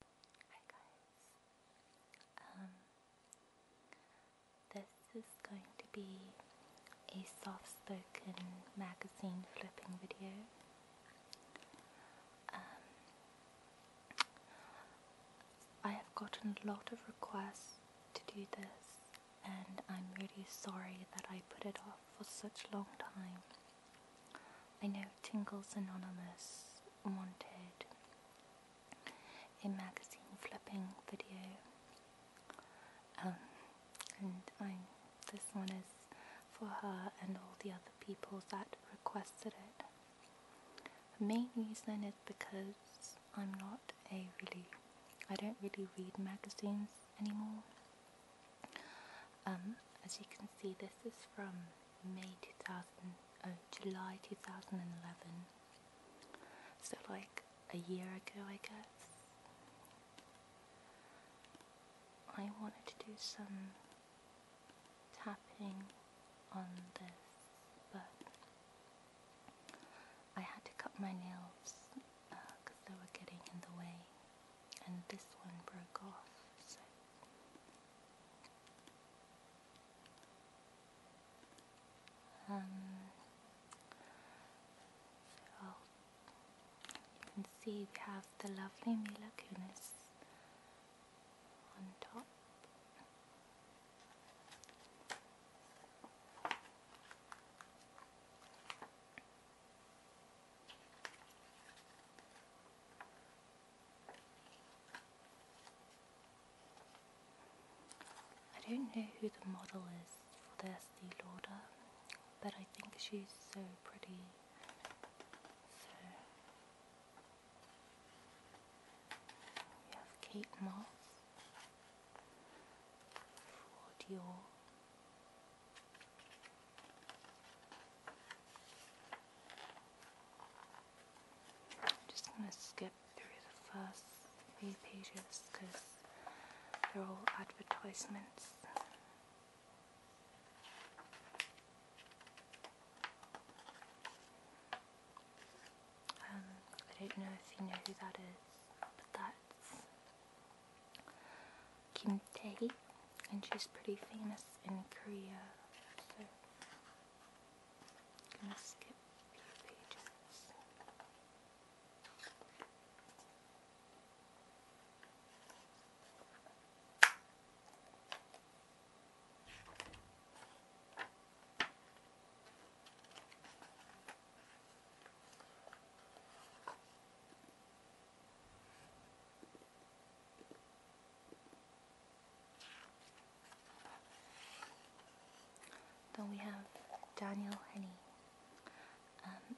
Hi guys. Um, this is going to be a soft-spoken magazine flipping video. Um, I have gotten a lot of requests to do this, and I'm really sorry that I put it off for such a long time. I know Tingles Anonymous wanted a magazine flipping video um, and this one is for her and all the other people that requested it. The main reason is because I'm not a really, I don't really read magazines anymore. Um, as you can see this is from May 2000, uh, July 2011. So like a year ago, I guess. I wanted to do some tapping on this, but I had to cut my nails because uh, they were getting in the way, and this one broke off. Um, so you can see we have the lovely Mila Kunis on top. I don't know who the model is for their Estee Lauder, but I think she's so pretty. So we have Kate Moss Dior. I'm just going to skip through the first few pages because they're all advertisements. Um, I don't know if you know who that is, but that's Kim Tae, and she's pretty famous in Korea. So I'm skip pages. Then we have Daniel Henney. Um,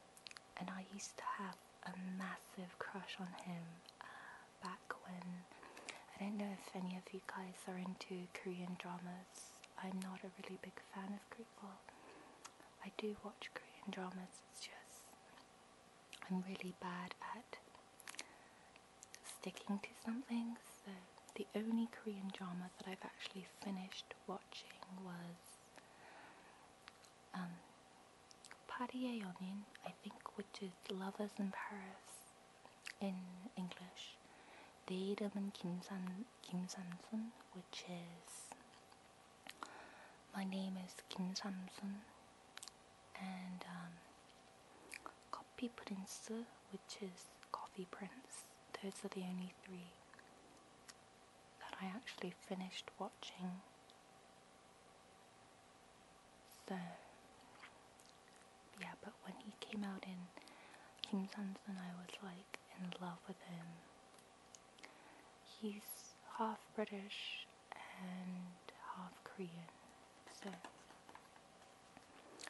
and I used to have a massive crush on him uh, back when. I don't know if any of you guys are into Korean dramas. I'm not a really big fan of Korean. Well, I do watch Korean dramas. It's just I'm really bad at sticking to something. So the only Korean drama that I've actually finished watching was um, Party I think, which is Lovers in Paris in English. They and Kim San which is My Name is Kim Samsun and um, Copy Prince, which is Coffee Prince. Those are the only three that I actually finished watching. So, yeah, but when he came out in Kim Sanson, I was like in love with him. He's half British and half Korean. So,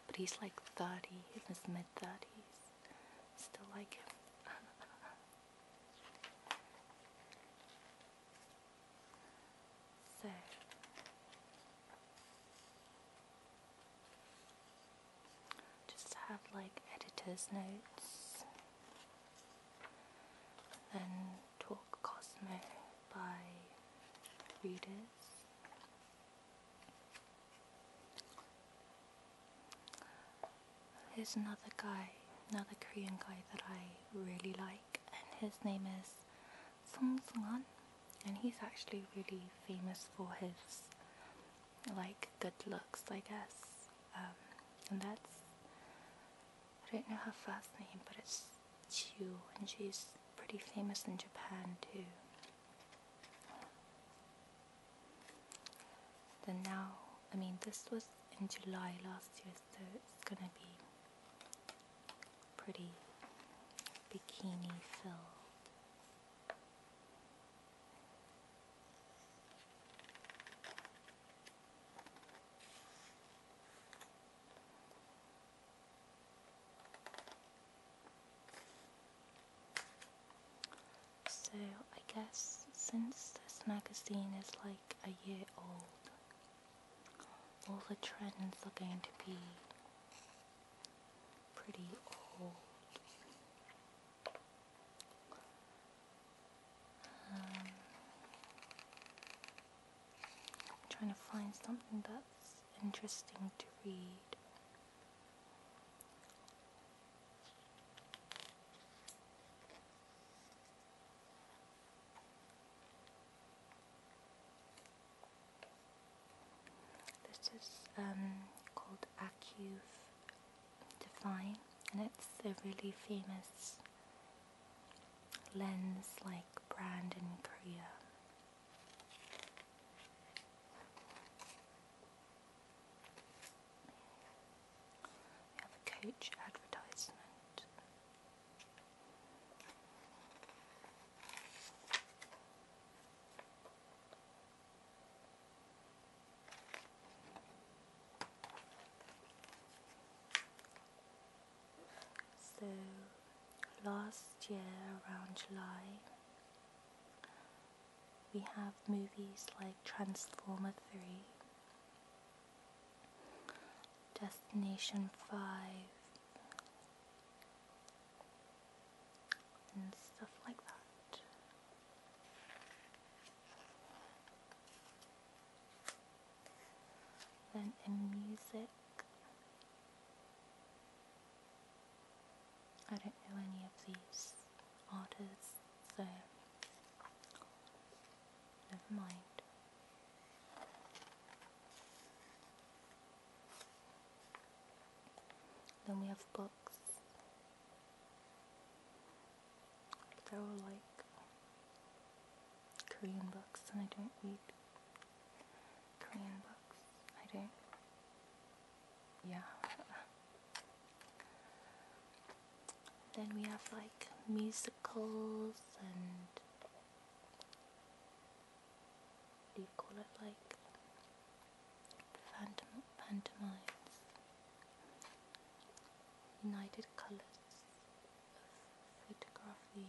but he's like 30, in his mid 30s. Still like him. so. Just have like editor's notes, then talk Cosmo by readers. Here's another guy, another Korean guy that I really like, and his name is Song Sungan, and he's actually really famous for his like good looks, I guess. Um, and that's I don't know how first name, but it's Chiu, and she's pretty famous in Japan too. Then now, I mean, this was in July last year, so it's gonna be pretty bikini filled. So I guess since this magazine is like a year old, all the trends are going to be pretty old. Um, I'm trying to find something that's interesting to read. This is um, called Acuf Define, and it's a really famous lens like brand in Korea. We have a coach advertisement. So last year around July we have movies like Transformer 3, Destination 5 and stuff like that. Then in music. I don't know any of these artists, so never mind. Then we have books. But they're like Korean books and I don't read Korean books, I do. Yeah. Then we have like musicals and what do you call it? Like phantom pantomimes, United Colors of Photography.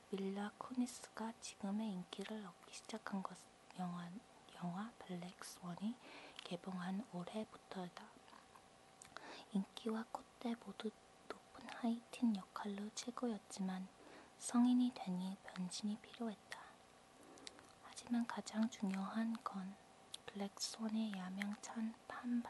밀라 쿠니스가 지금의 인기를 얻기 시작한 것 영화, 영화 블랙스원이 개봉한 올해부터다. 인기와 콧대 모두 높은 하이틴 역할로 최고였지만 성인이 되니 변신이 필요했다. 하지만 가장 중요한 건 블랙스원의 야명찬 판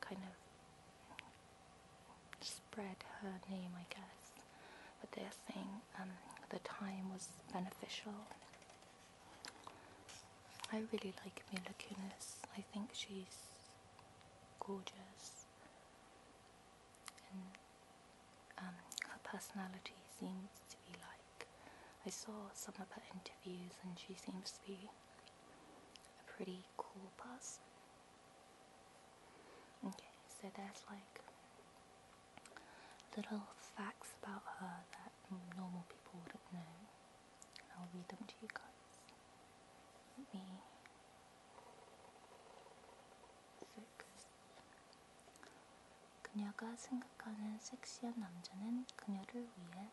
kind of spread her name, I guess. But they're saying um, the time was beneficial. I really like Mila Kunis. I think she's gorgeous, and um, her personality seems to be like. I saw some of her interviews, and she seems to be a pretty cool person. Okay, so that's like little facts about her that normal people wouldn't know. I'll read them to you guys. me focus. 그녀가 생각하는 섹시한 남자는 그녀를 위해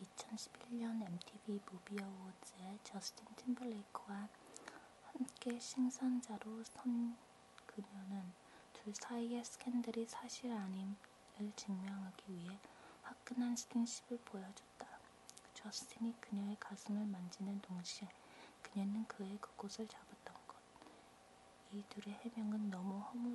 2011년 MTV 무비 어워즈에 저스틴 팀블레이크와 함께 신선자로 선 그녀는 둘 사이의 스캔들이 사실 아님을 증명하기 위해 화끈한 스킨십을 보여줬다. 그 저스틴이 그녀의 가슴을 만지는 동시에 그녀는 그의 그곳을 잡았던 것. 이 둘의 해명은 너무 허물,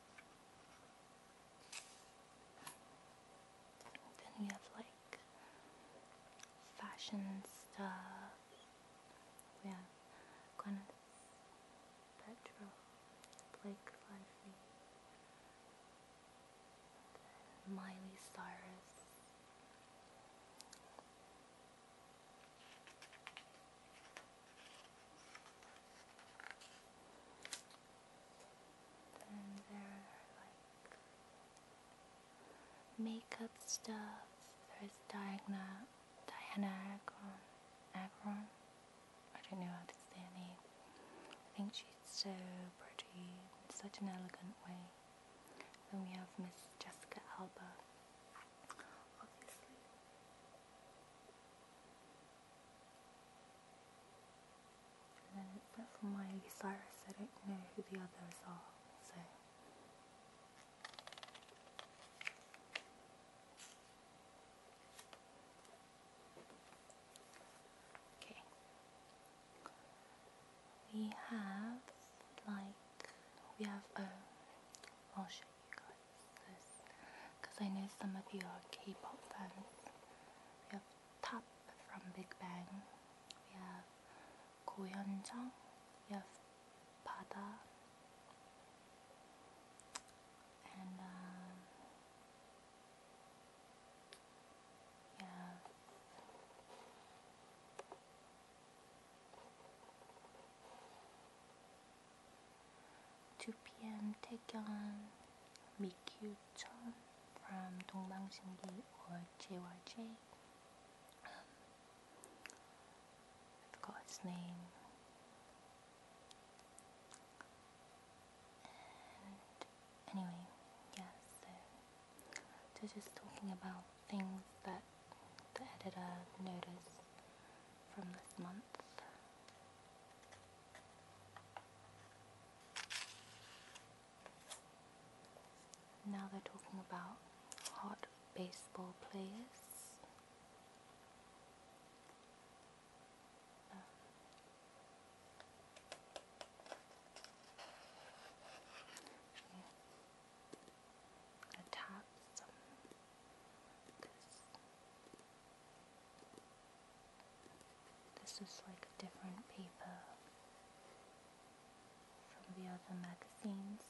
Then we have like fashion stuff. We have Gwyneth Petrol, Blake Lively, Miley Cyrus. Then there are like makeup stuff. There's Diana, Diana Agron. Agron? I don't know how to say her name. I think she's so pretty such an elegant way. Then we have Miss Jessica Alba. Obviously. And but for my Osiris, I don't know who the others are, so. Okay. We have, like, we have, oh, i because because I know some of you are K-pop fans. We have Top from Big Bang. We have Go Hyun-jung. We have Pada. And um, 2 p.m. Taekyun Mikyu Chun from Dongbangshingi or JYJ. Um, I forgot his name. anyway, yeah, so just talking about things that the editor noticed from this month. Now they're talking about hot baseball players. Uh, yeah. Taps. This is like a different paper from the other magazines.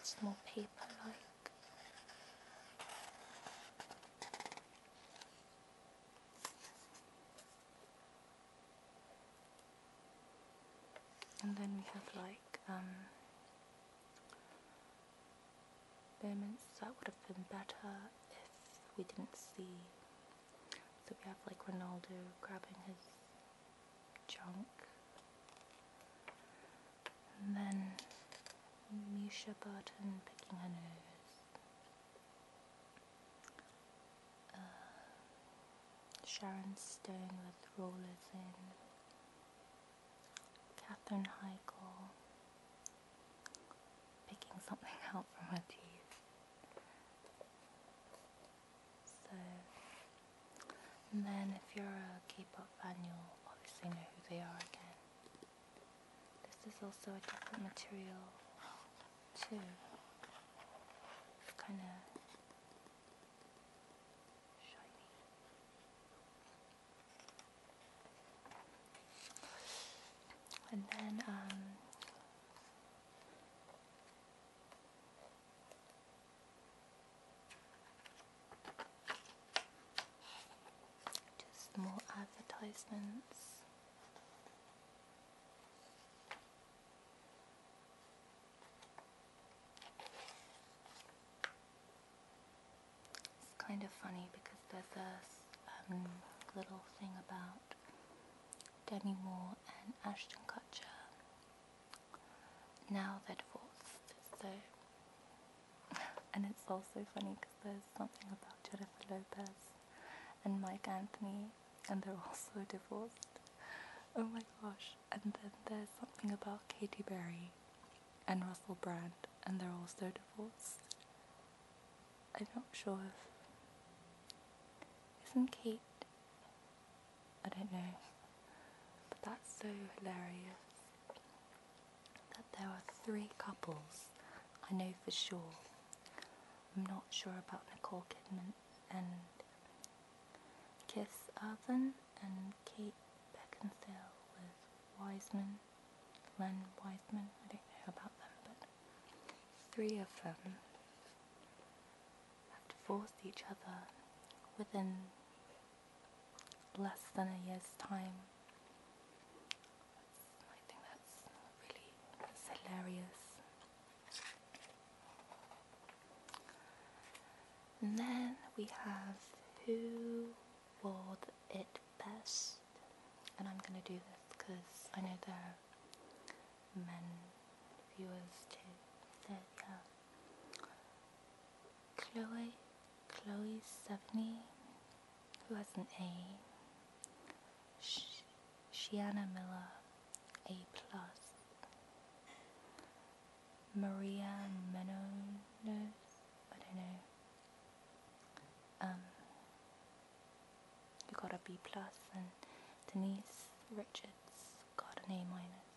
It's more paper like. And then we have like um moments that would have been better if we didn't see. So we have like Ronaldo grabbing his junk. And then Misha Barton picking her nose. Uh, Sharon Stone with rollers in. Katherine Heigl picking something out from her teeth. So, and then if you're a K-pop fan, you'll obviously know who they are again. This is also a different material too. It's kind of shiny. And then, um, just more advertisements. It's kind of funny because there's a um, little thing about Demi Moore and Ashton Kutcher. Now they're divorced, so. and it's also funny because there's something about Jennifer Lopez and Mike Anthony, and they're also divorced. Oh my gosh. And then there's something about Katy Perry and Russell Brand, and they're also divorced. I'm not sure if. Isn't Kate? I don't know. But that's so hilarious that there were three couples I know for sure. I'm not sure about Nicole Kidman and Kiss Urban and Kate Beckinsale with Wiseman, Len Wiseman, I don't know about them, but three of them have divorced each other within less than a year's time. I think that's really hilarious. And then we have Who Wore It best. And I'm going to do this because I know there are men viewers too. So are Chloe, Chloe Sevigny, who has an A. Sh Shiana Miller, A+. plus. Maria Menounos, I don't know. You um, who got a B plus, and Denise Richards got an A minus.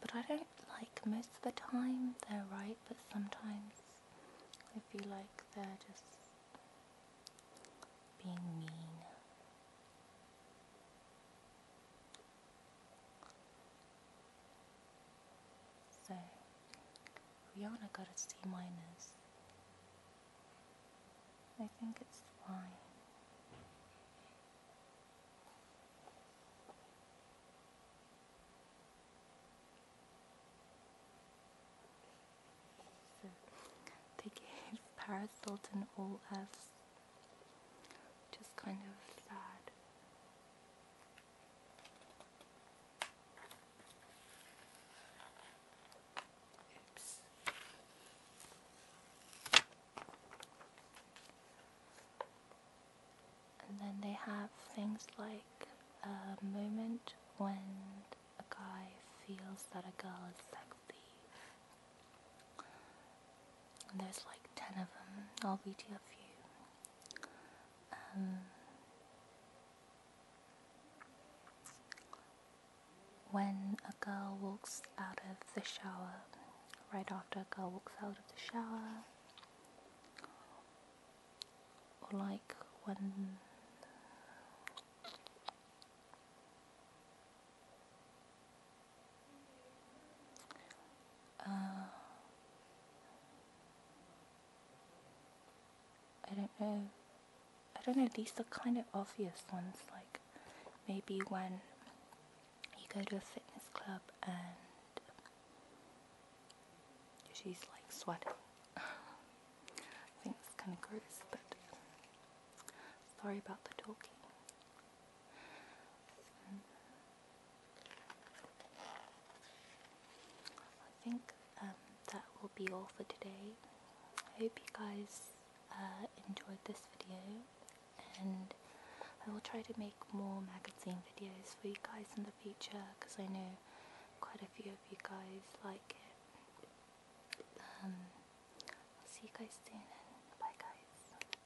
But I don't like most of the time they're right, but sometimes I feel like they're just being mean. So Rihanna got a C minus. I think it's fine. So they gave Paris all F's. Just kind of sad. And then they have things like a moment when a guy feels that a girl is sexy. There's like ten of them. I'll read you a few. Um, when a girl walks out of the shower, right after a girl walks out of the shower, or like when uh, I don't know. I don't know. These are kind of obvious ones. Like maybe when you go to a fitness club and she's like sweating. I think it's kind of gross, but sorry about the talking. I think um, that will be all for today. I hope you guys uh, enjoyed this video and I will try to make more magazine videos for you guys in the future because I know quite a few of you guys like it. Um, see you guys soon and bye guys.